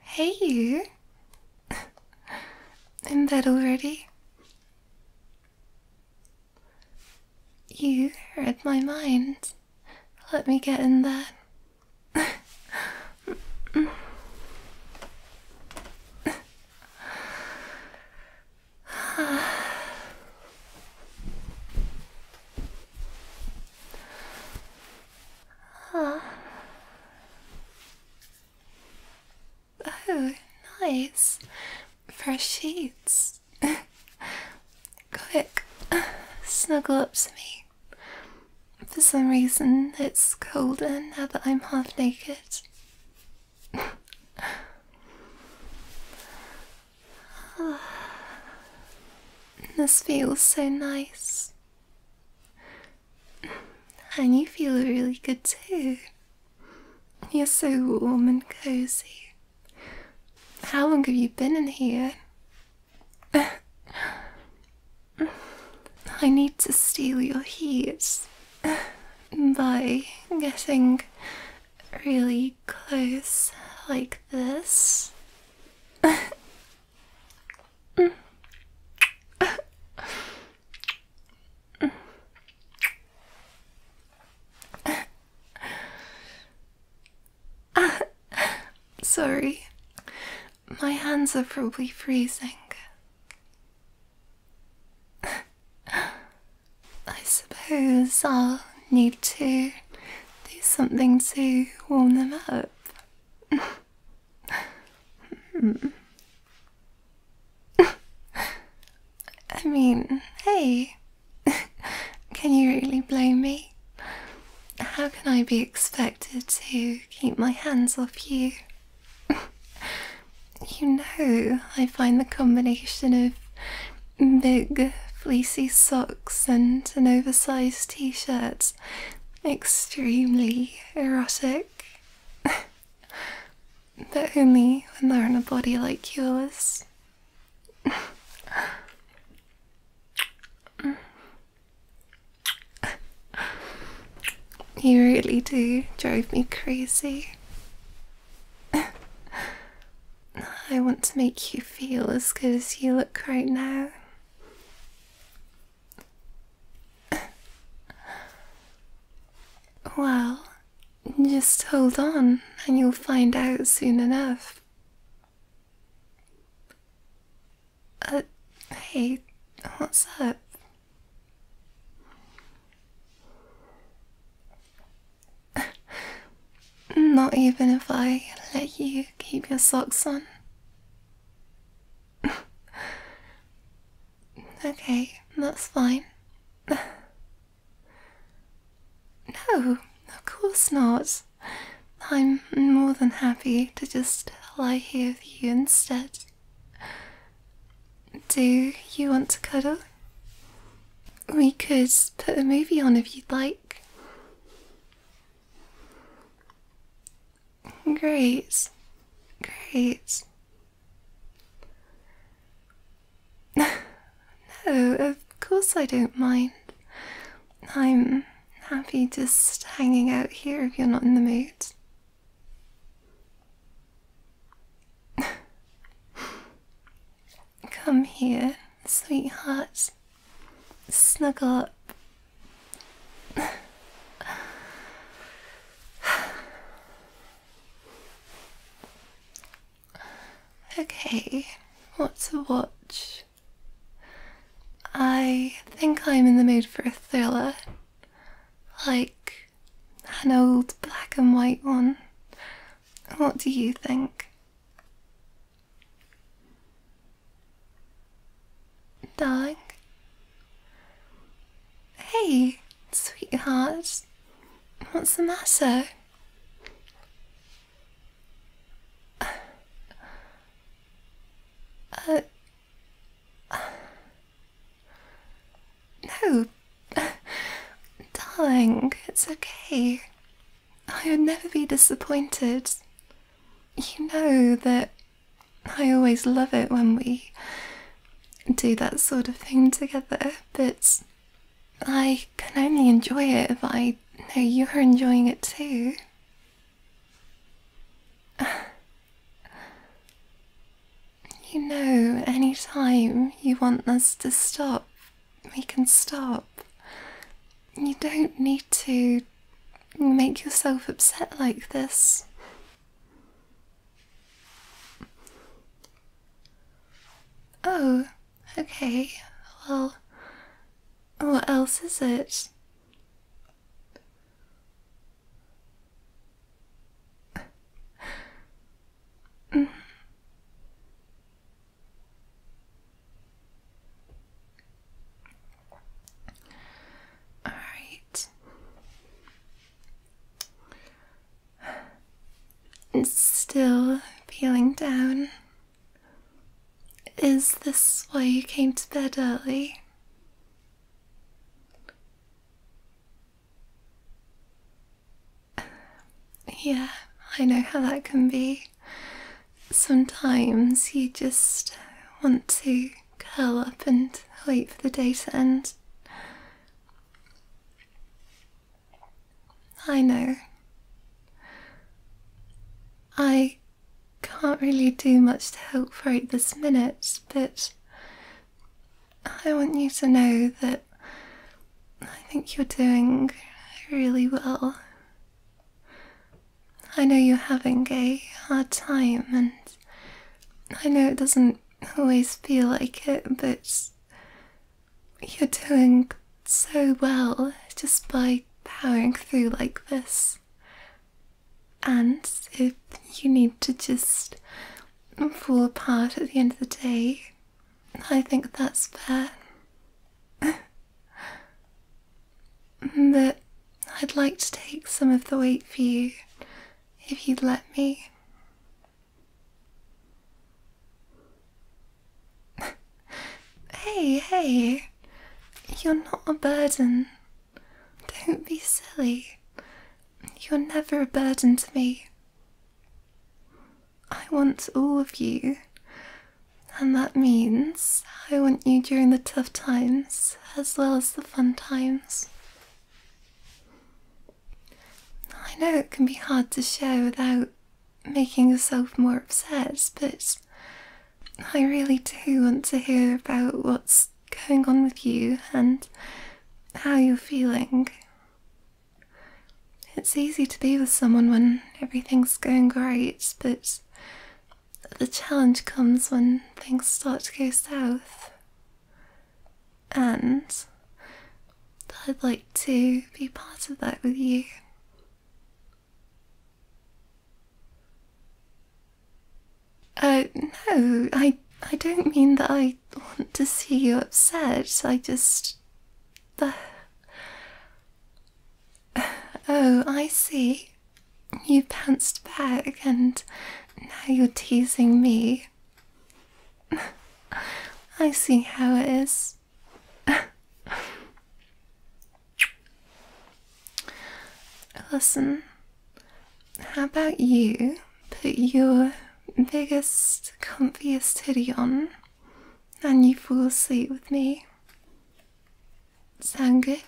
hey you! In bed already? You read my mind. Let me get in there. Ah. Oh, nice. Fresh sheets. Quick, snuggle up to me. For some reason, it's colder now that I'm half naked. This feels so nice. And you feel really good too. You're so warm and cozy. How long have you been in here? I need to steal your heat by getting really close like this. Sorry, my hands are probably freezing. I suppose I'll need to do something to warm them up. I mean, hey, can you really blame me? How can I be expected to keep my hands off you? you know, I find the combination of Big fleecy socks and an oversized t shirt. Extremely erotic. but only when they're on a body like yours. You really do drive me crazy. I want to make you feel as good as you look right now. well, just hold on and you'll find out soon enough. Uh, hey, what's up? Not even if I let you keep your socks on. okay, that's fine. no, of course not. I'm more than happy to just lie here with you instead. Do you want to cuddle? We could put a movie on if you'd like. Great, great. no, of course I don't mind. I'm happy just hanging out here if you're not in the mood. Come here, sweetheart. Snuggle up. okay, what to watch? I think I'm in the mood for a thriller. Like an old black and white one what do you think? Doug? Hey, sweetheart. What's the matter? Uh, uh no, darling, it's okay. I would never be disappointed. You know that I always love it when we do that sort of thing together, but I can only enjoy it if I know you're enjoying it too. You know, any time you want us to stop, we can stop. You don't need to make yourself upset like this. Oh, okay. Well, what else is it? All right. Still feeling down. Is this why you came to bed early? Yeah, I know how that can be. Sometimes you just want to curl up and wait for the day to end. I know. I can't really do much to help right this minute, but I want you to know that I think you're doing really well. I know you're having a hard time, and I know it doesn't always feel like it, but you're doing so well just by powering through like this. And if you need to just fall apart at the end of the day. I think that's fair. but I'd like to take some of the weight for you, if you'd let me. hey, hey, you're not a burden. Don't be silly. You're never a burden to me. I want all of you, and that means I want you during the tough times as well as the fun times. I know it can be hard to share without making yourself more upset, but I really do want to hear about what's going on with you and how you're feeling. It's easy to be with someone when everything's going great, but the challenge comes when things start to go south. And I'd like to be part of that with you. Uh, no, I, I don't mean that I want to see you upset. I just. Uh, oh, I see. You pounced back and now you're teasing me. I see how it is. Listen, how about you put your biggest, comfiest hoodie on and you fall asleep with me? Sound good?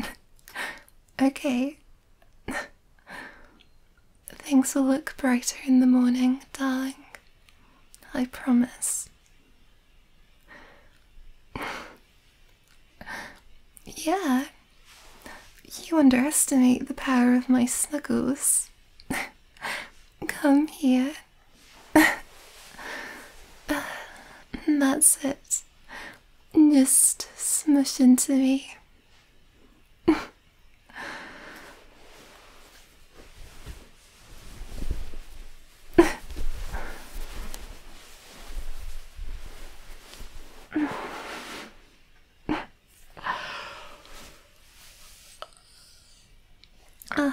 okay. Things will look brighter in the morning, darling. I promise. Yeah. You underestimate the power of my snuggles. Come here. Uh, that's it. Just smush into me. Uh,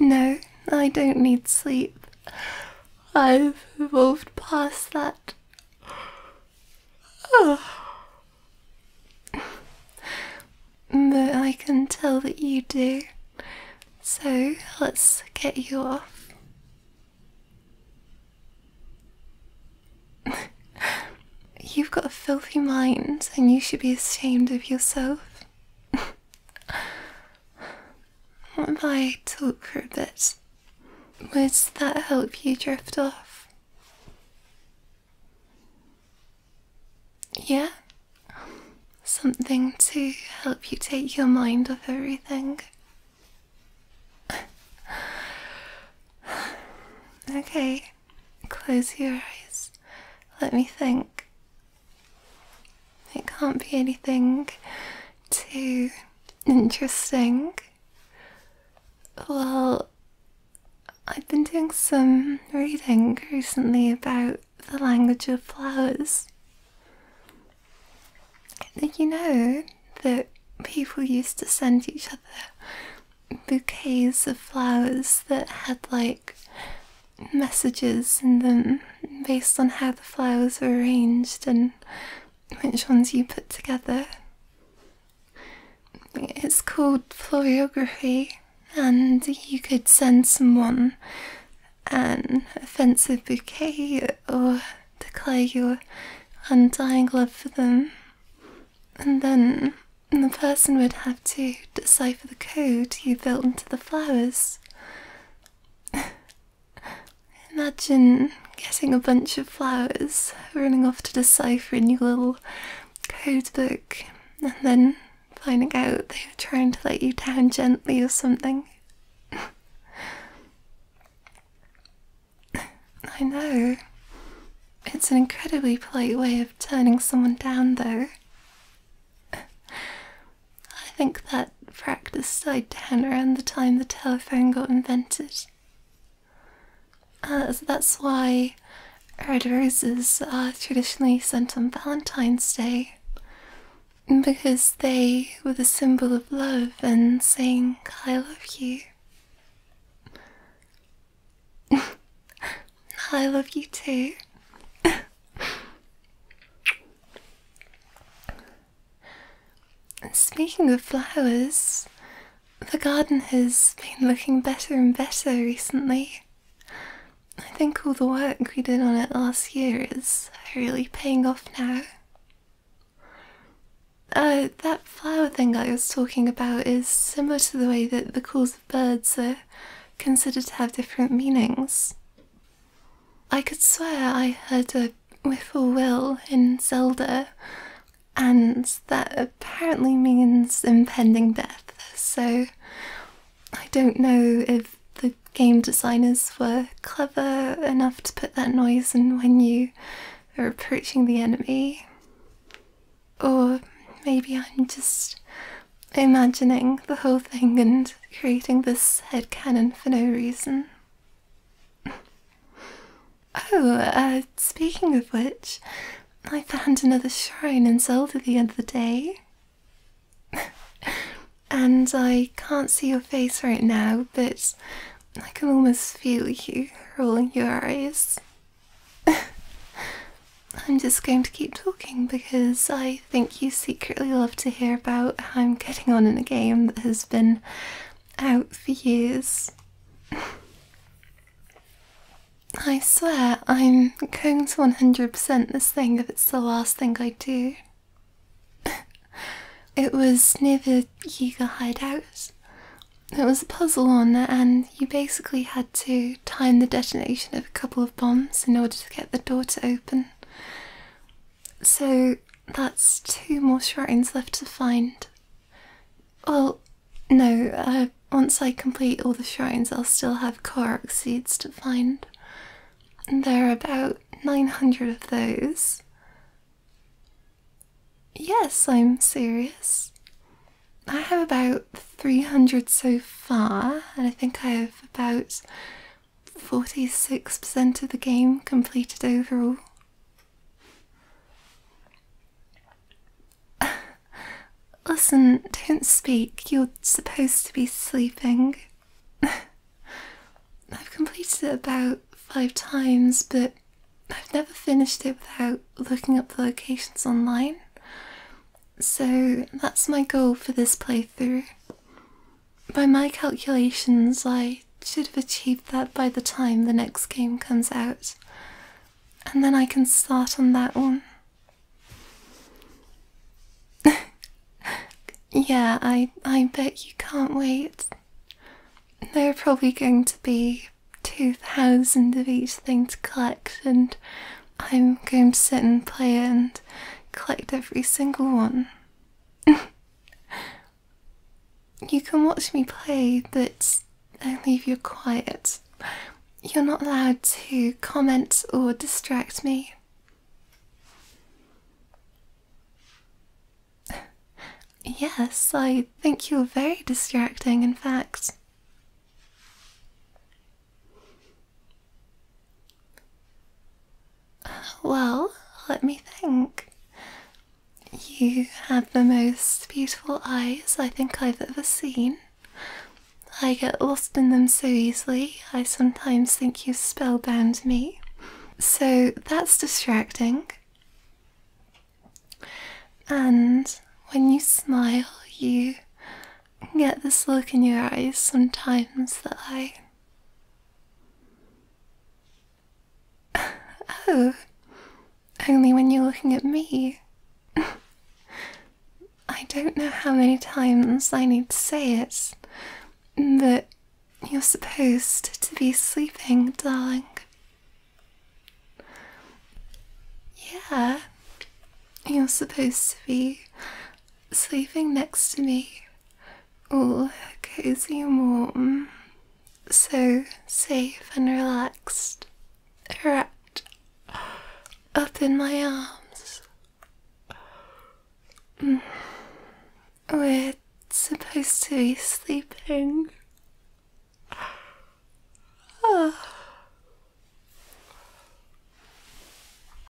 no, I don't need sleep. I've evolved past that. Uh, but I can tell that you do. So let's get you off. You've got a filthy mind, and you should be ashamed of yourself. what if I talk for a bit? Would that help you drift off? Yeah? Something to help you take your mind off everything. okay, close your eyes. Let me think. It can't be anything too interesting. Well, I've been doing some reading recently about the language of flowers. Did you know that people used to send each other bouquets of flowers that had like messages in them based on how the flowers were arranged and which ones you put together? It's called florography, and you could send someone an offensive bouquet or declare your undying love for them, and then the person would have to decipher the code you built into the flowers. Imagine getting a bunch of flowers, running off to decipher a new little code book, and then finding out they were trying to let you down gently or something. I know. It's an incredibly polite way of turning someone down, though. I think that practice died down around the time the telephone got invented. Uh, so that's why red roses are uh, traditionally sent on Valentine's Day. Because they were the symbol of love and saying, I love you. I love you too. Speaking of flowers, the garden has been looking better and better recently. I think all the work we did on it last year is really paying off now. Uh, that flower thing I was talking about is similar to the way that the calls of birds are considered to have different meanings. I could swear I heard a whiffle will in Zelda and that apparently means impending death, so I don't know if the game designers were clever enough to put that noise in when you are approaching the enemy. Or maybe I'm just imagining the whole thing and creating this head cannon for no reason oh, uh, speaking of which, I found another shrine in Zelda the other day. and I can't see your face right now, but I can almost feel you rolling your eyes. I'm just going to keep talking because I think you secretly love to hear about how I'm getting on in a game that has been out for years. I swear I'm going to 100% this thing if it's the last thing I do. it was near the Yuga hideout. It was a puzzle one, and you basically had to time the detonation of a couple of bombs in order to get the door to open. So that's two more shrines left to find. Well, no, uh, once I complete all the shrines, I'll still have Korok seeds to find. There are about 900 of those. Yes, I'm serious. I have about 300 so far, and I think I have about 46% of the game completed overall. Listen, don't speak. You're supposed to be sleeping. I've completed it about five times, but I've never finished it without looking up the locations online. So that's my goal for this playthrough by my calculations, I should have achieved that by the time the next game comes out, and then I can start on that one. yeah, I I bet you can't wait. There are probably going to be two thousand of each thing to collect, and I'm going to sit and play and collect every single one. You can watch me play, but only if you're quiet. You're not allowed to comment or distract me. Yes, I think you're very distracting, in fact. Well, let me think. You have the most beautiful eyes I think I've ever seen. I get lost in them so easily, I sometimes think you've spellbound me. So that's distracting. And when you smile, you get this look in your eyes sometimes that I oh, only when you're looking at me. I don't know how many times I need to say it, but you're supposed to be sleeping, darling. Yeah, you're supposed to be sleeping next to me all cozy and warm, so safe and relaxed, wrapped up in my arms. Mm, we're supposed to be sleeping. Ah.